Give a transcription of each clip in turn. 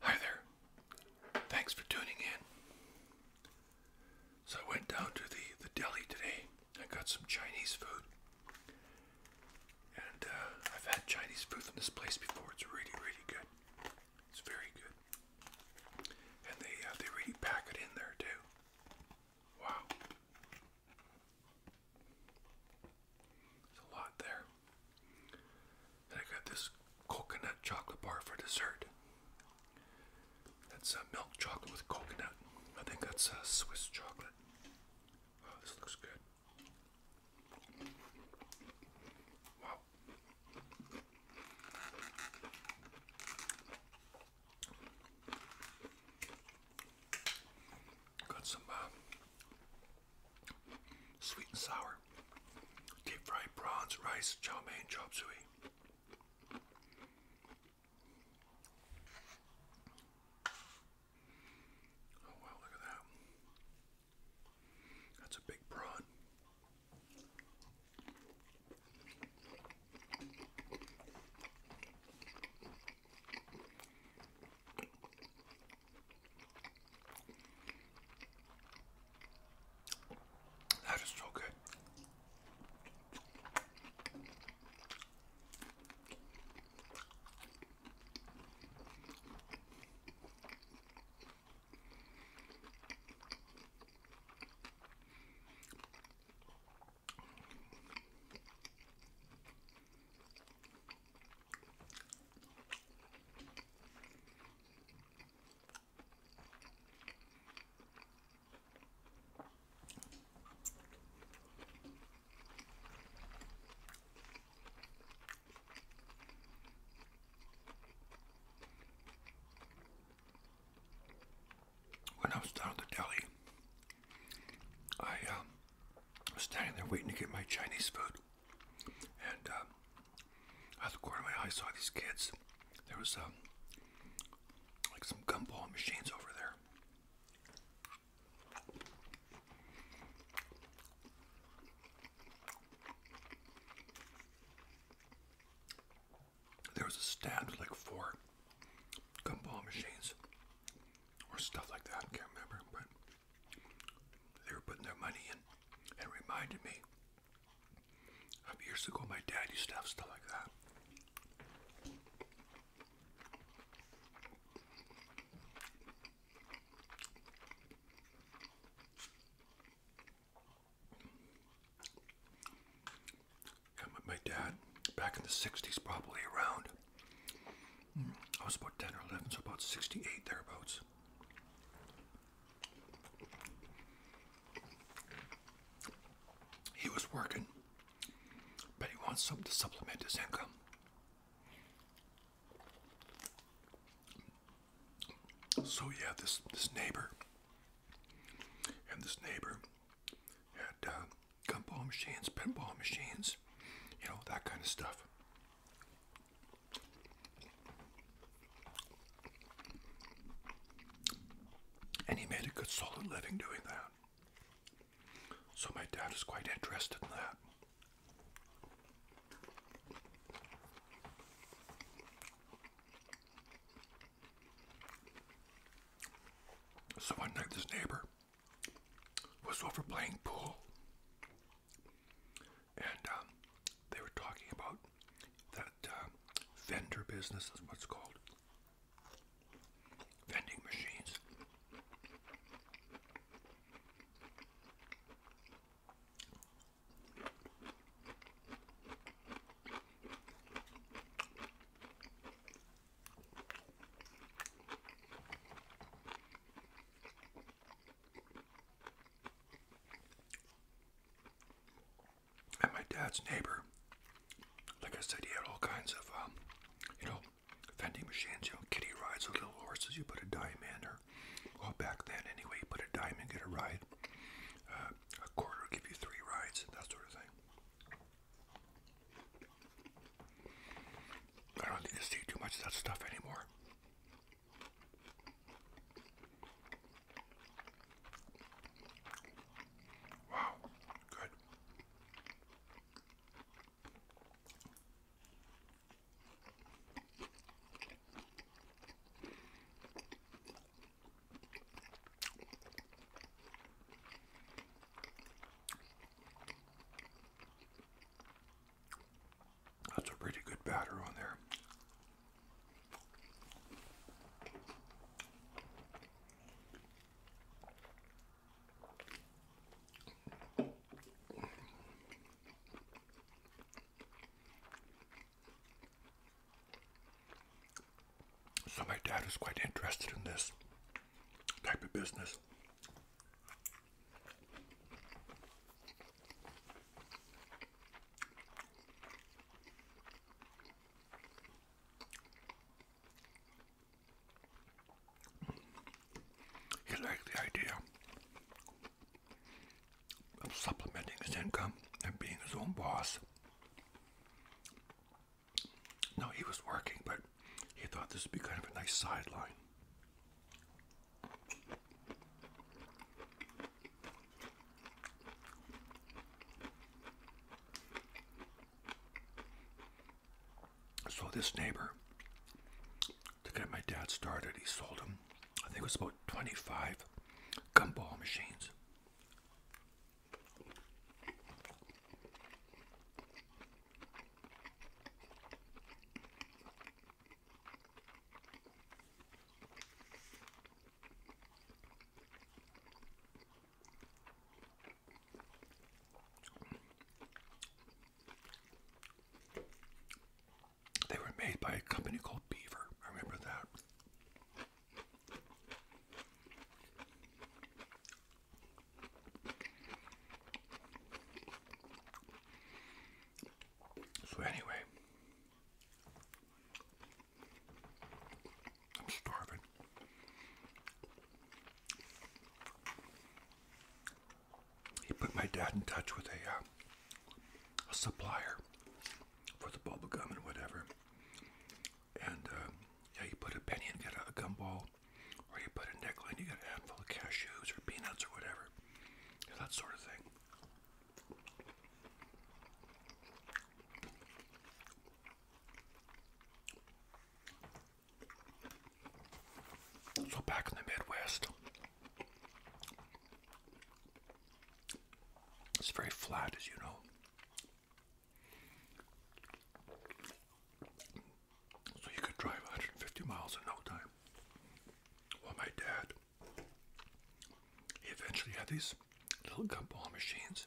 Hi there. Thanks for tuning in. So I went down to the, the deli today. I got some Chinese food. And uh, I've had Chinese food from this place before. It's really, really good. It's very good. And they, uh, they really pack it in there too. Wow. There's a lot there. I got this coconut chocolate bar for dessert. That's uh, milk chocolate with coconut. I think that's uh, Swiss chocolate. Oh, this looks good. Wow. Got some uh, sweet and sour deep fried prawns, rice, chow mein, chop suey. Oh wow, look at that. That's a big prawn. That is so good. When I was down I um, i was standing there waiting to get my Chinese food, and um, out the corner of my eye, I saw these kids. There was um, like some gum ball machines over there. There was a stand with like four gum ball machines or stuff like that. can't remember, but they were putting their money in, and reminded me of years ago. My dad used stuff like that. Yeah, my dad, back in the 60s, probably around Hmm. I was about 10 or 11, so about 68 thereabouts. He was working, but he wants something to supplement his income. So yeah, this this neighbor and this neighbor had uh, gumball machines, pinball machines, you know, that kind of stuff. And he made a good solid living doing that. So my dad is quite interested in that. So one night, this neighbor was over playing pool, and um, they were talking about that um, vendor business is what's called vending machines. And my dad's neighbor, like I said, he had all kinds of, um, you know, vending machines. You know, kitty rides with little horses. You put a dime in, or well, back then anyway, you put a dime in, get a ride. Uh, a quarter give you three rides, and that sort of thing. I don't need to see too much of that stuff anymore. Wow, good. That's a pretty good batter on there. So my dad was quite interested in this type of business. He liked the idea of supplementing his income and being his own boss. No, he was working, but he thought this would be kind of a nice sideline. So this neighbor, to get my dad started, he sold him, I think it was about 25 gumball machines. They were made by a company called Beaver. I remember that. So anyway, I'm starving. He put my dad in touch with a, uh, supplier for the bubble gum and whatever. And um, yeah, you put a penny and get a, a gumball, or you put a nickel and you get a handful of cashews or peanuts or whatever. that sort of thing. So back in the Midwest, it's very flat, as you know. So you could drive 150 miles in no time. Well, my dad, he eventually had these little gumball machines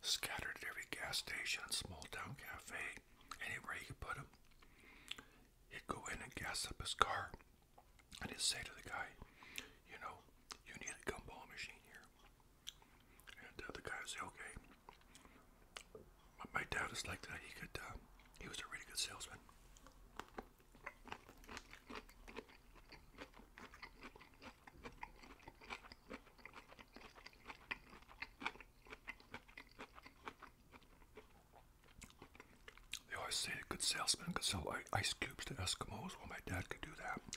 scattered at every gas station, small town cafe, anywhere he could put them. He'd go in and gas up his car, and he'd say to the guy, you know, you need a gumball machine here. And uh, the guy said, okay. my dad is like that. He could, uh, he was a really good salesman. They always say a good salesman could sell ice cubes to Eskimos. Well, my dad could do that.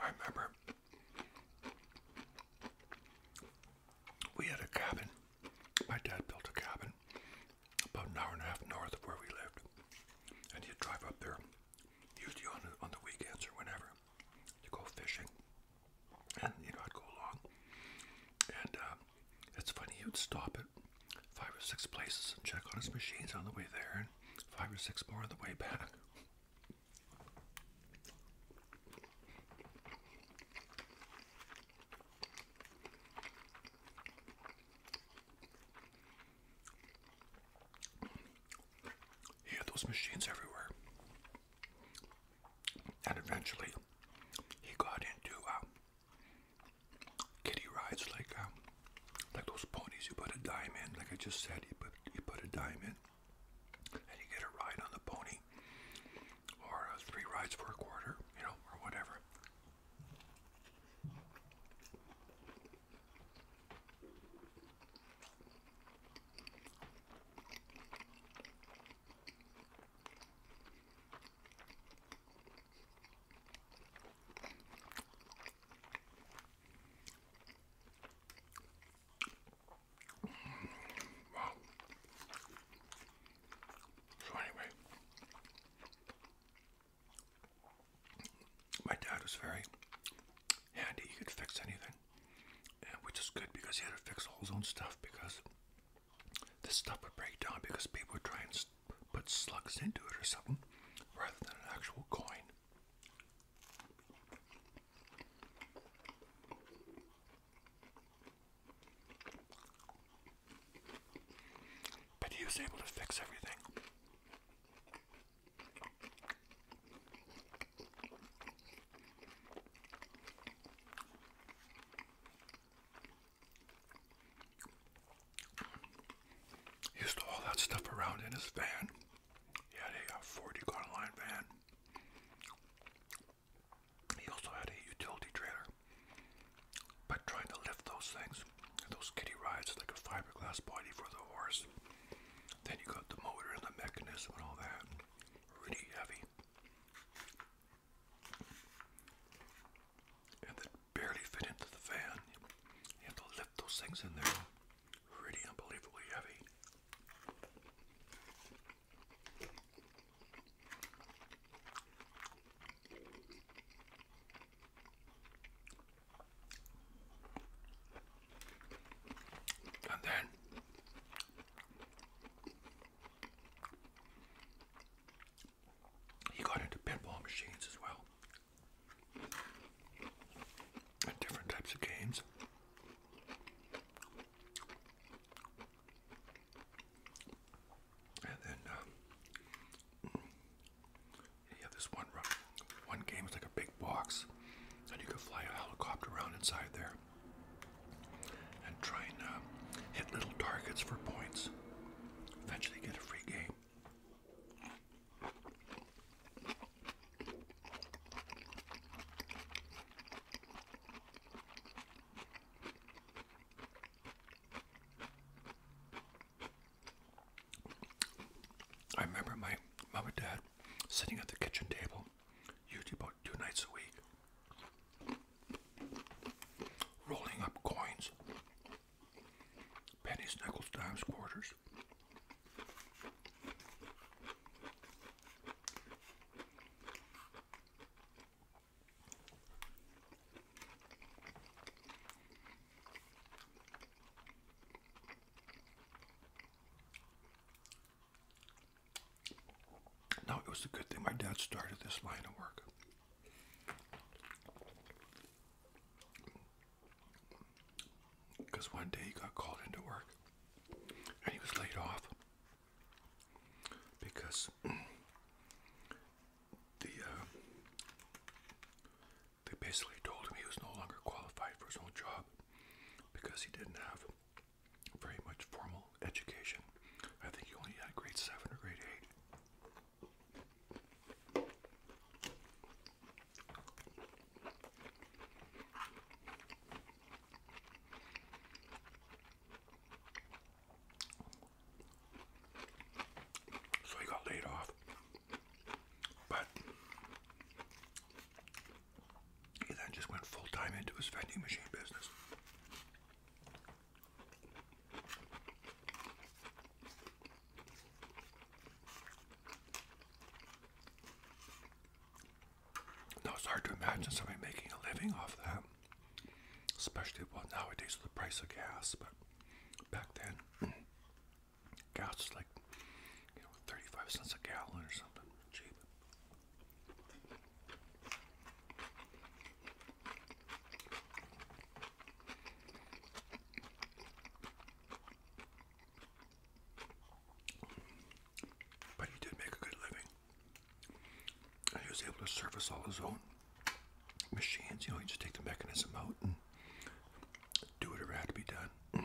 I remember we had a cabin. My dad built a cabin about an hour and a half north of where we lived. And he'd drive up there, usually on, on the weekends or whenever, to go fishing. And, you know, I'd go along. And uh, it's funny he would stop at five or six places and check on his machines on the way there and five or six more on the way back. He had those machines everywhere. And eventually he got into uh, kitty rides like um, like those ponies. You put a dime in, like I just said. You put you put a dime in, and you get a ride on the pony, or uh, three rides for a quarter, you know, or whatever. Wow. So anyway, my dad was very handy. He could fix anything, which is good because he had to fix all his own stuff because this stuff would break down because people would try and put slugs into it or something rather than an actual coin. But he was able to fix everything. He used all that stuff around in his van. He had a, uh, 40 gun line van. He also had a utility trailer. But trying to lift those things, those kiddie rides, like a fiberglass body for the horse. Then you got the motor and the mechanism and all that. Really heavy and that barely fit into the van. You have to lift those things in there. Really unbelievably heavy. And then he got into pinball machines as well. And different types of games. And then uh, um, you this one one game is like a big box, and you can fly a helicopter around inside there and try and uh, hit little targets for points. Eventually get a free game. I remember my mom and dad sitting at the kitchen table, YouTube two nights a week, rolling up coins, pennies, nickels, dimes, quarters. No, it was a good thing my dad started this line of work. Because one day he got called into work and he was laid off because the uh, they basically told him he was no longer qualified for his old job because he didn't have very much formal education. I think you only had grade seven or grade eight. So he got laid off, but he then just went full time into his vending machine business. Now it's hard to imagine somebody making a living off that, especially well nowadays with the price of gas. But back then, gas was like you know 35 cents a gallon or something cheap. But he did make a good living. he was able to service all his own machines. You know, he just take the mechanism out and do whatever had to be done.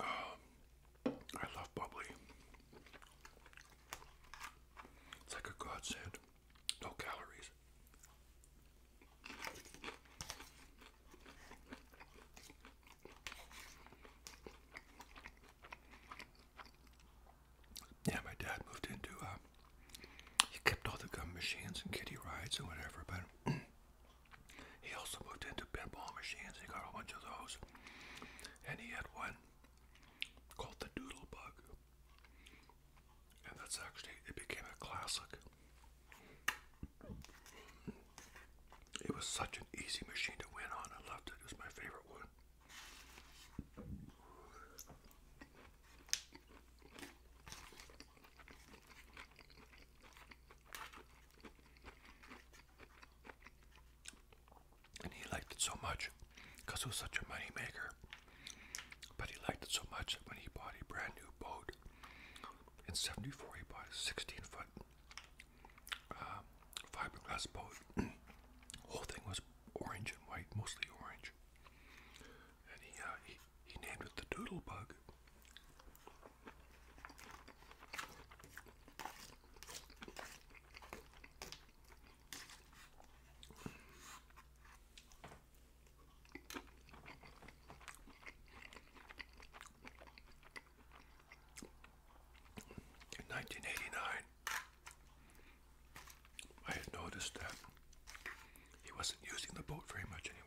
Um, I love bubbly. It's like a godsend. No calories. Yeah, my dad moved into, uh, he kept all the gum machines and kiddie rides and whatever, but he also moved into pinball machines. He got a bunch of those. And he had one called the Doodle Bug. And that's actually, it became a classic. It was such an easy machine to win on. I loved it. It was my favorite one. And he liked it so much because it was such a money maker. But he liked it so much that when he bought a brand new boat, in 74, he bought a 16 foot uh, fiberglass boat. whole thing was orange and white, mostly orange. And he, uh, he, named it the Doodle in 1989, I had noticed that he wasn't using the boat very much anymore.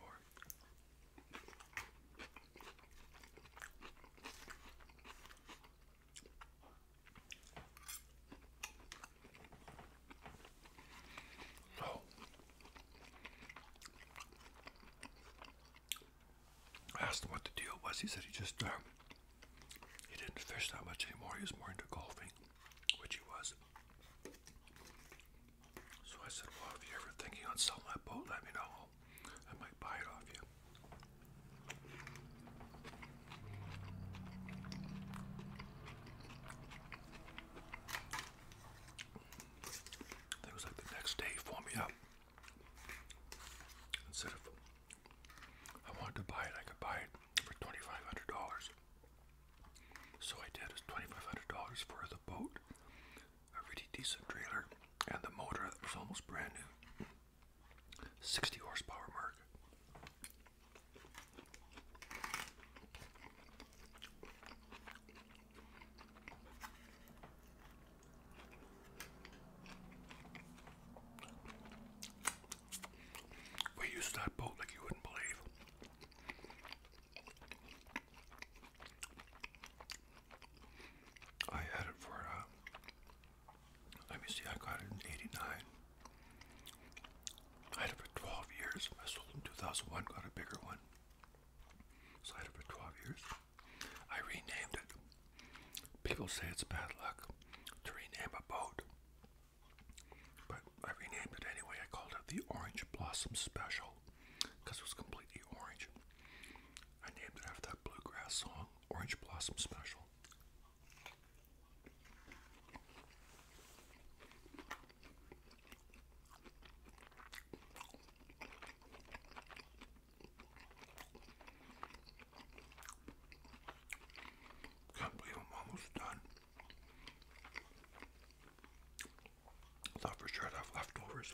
I asked him what the deal was. He said he just uh, he didn't fish that much anymore. He was more into golfing, which he was. So I said, "Well, if you're ever thinking on selling that boat, let me know. I might buy it off you." I it was like the next day for me up. Instead of I wanted to buy it, I could buy it for twenty five hundred dollars. So I did. It's twenty five hundred dollars for the boat, a really decent trailer, and the motor that was almost brand new. Sixty horsepower mark. We used that boat like you wouldn't believe. I had it for, uh, let me see, I got it in 89. I had it for 12 years. I sold it in 2001, got a bigger one. So it for 12 years. I renamed it. People say it's bad luck to rename a boat. But I renamed it anyway. I called it the Orange Blossom Special because it was completely orange. I named it after that bluegrass song, Orange Blossom Special. Can't believe I'm almost done. I thought for sure I'd have leftovers.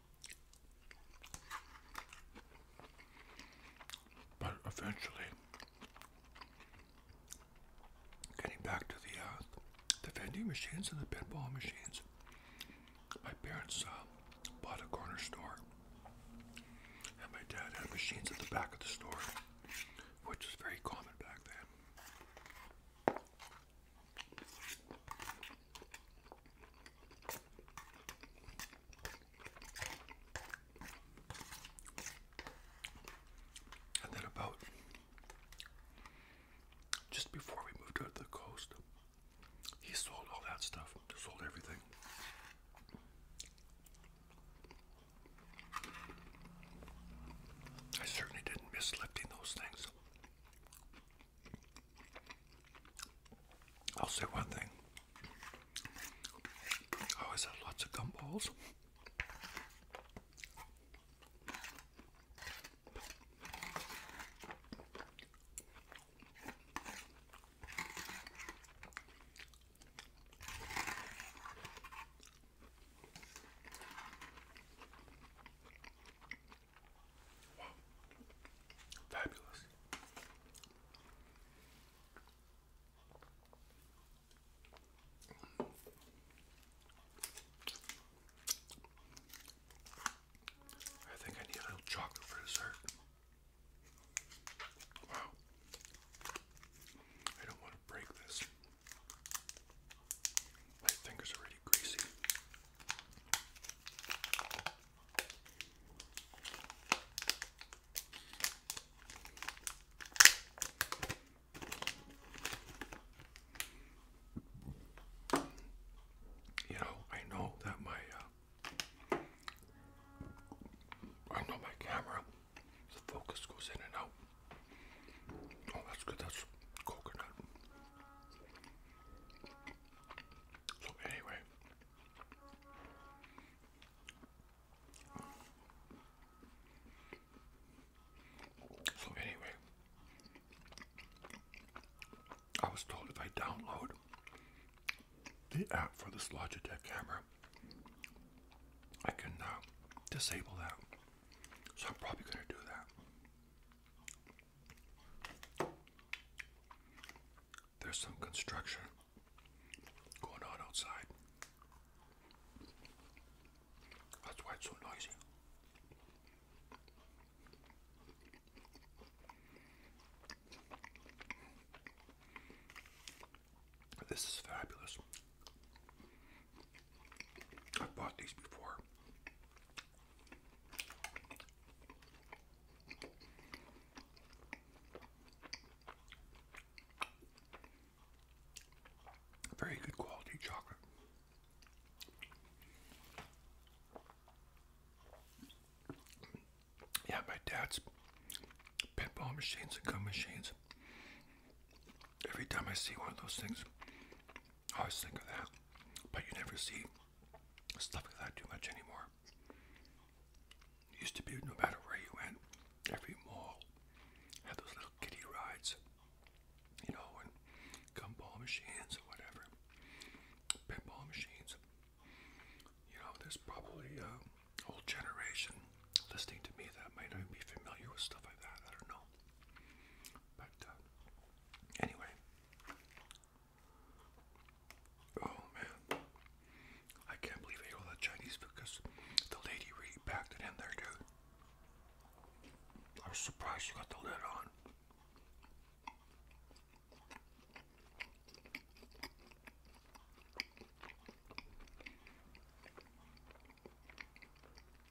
But eventually, getting back to the uh, the vending machines and the pinball machines, my parents uh, bought a corner store, and my dad had machines at the back of the store, which was very common back then. And then about just before we moved out the coast, he sold all that stuff, He sold everything. I certainly didn't miss lifting those things. I'll say one thing. I always have lots of gumballs. Wow. Fabulous. I think I need a little chocolate for dessert. Wow. I don't want to break this. My fingers are already greasy. You know, I know that my uh, I know my camera, the focus goes in and out. Oh, that's good. That's coconut. So, anyway, so anyway, I was told if I download the app for this Logitech camera, I can uh, disable that. So I'm probably going to do that. There's some construction going on outside. That's why it's so noisy. This is fabulous. I've bought these before. Very good quality chocolate. Yeah, my dad's pinball machines and gum machines. Every time I see one of those things, I always think of that, but you never see stuff like that too much anymore. It used to be no matter where you went, every mall had those little kiddie rides, you know, and gumball machines or whatever, pinball machines. You know, there's probably uh, a whole generation listening to me that might not be familiar with stuff like that. I don't know. But uh, anyway, oh man, I can't believe I ate all that Chinese food because the lady really packed it in there, dude. I was surprised you got the lid on.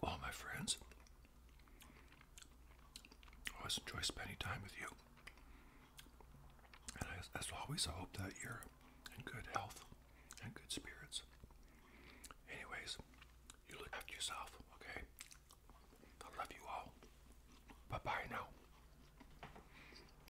Well, my friends, I always enjoy spending time with you. And as always, I hope that you're in good health and good spirits. Anyways, you look after yourself, okay? I love you all. Bye bye now.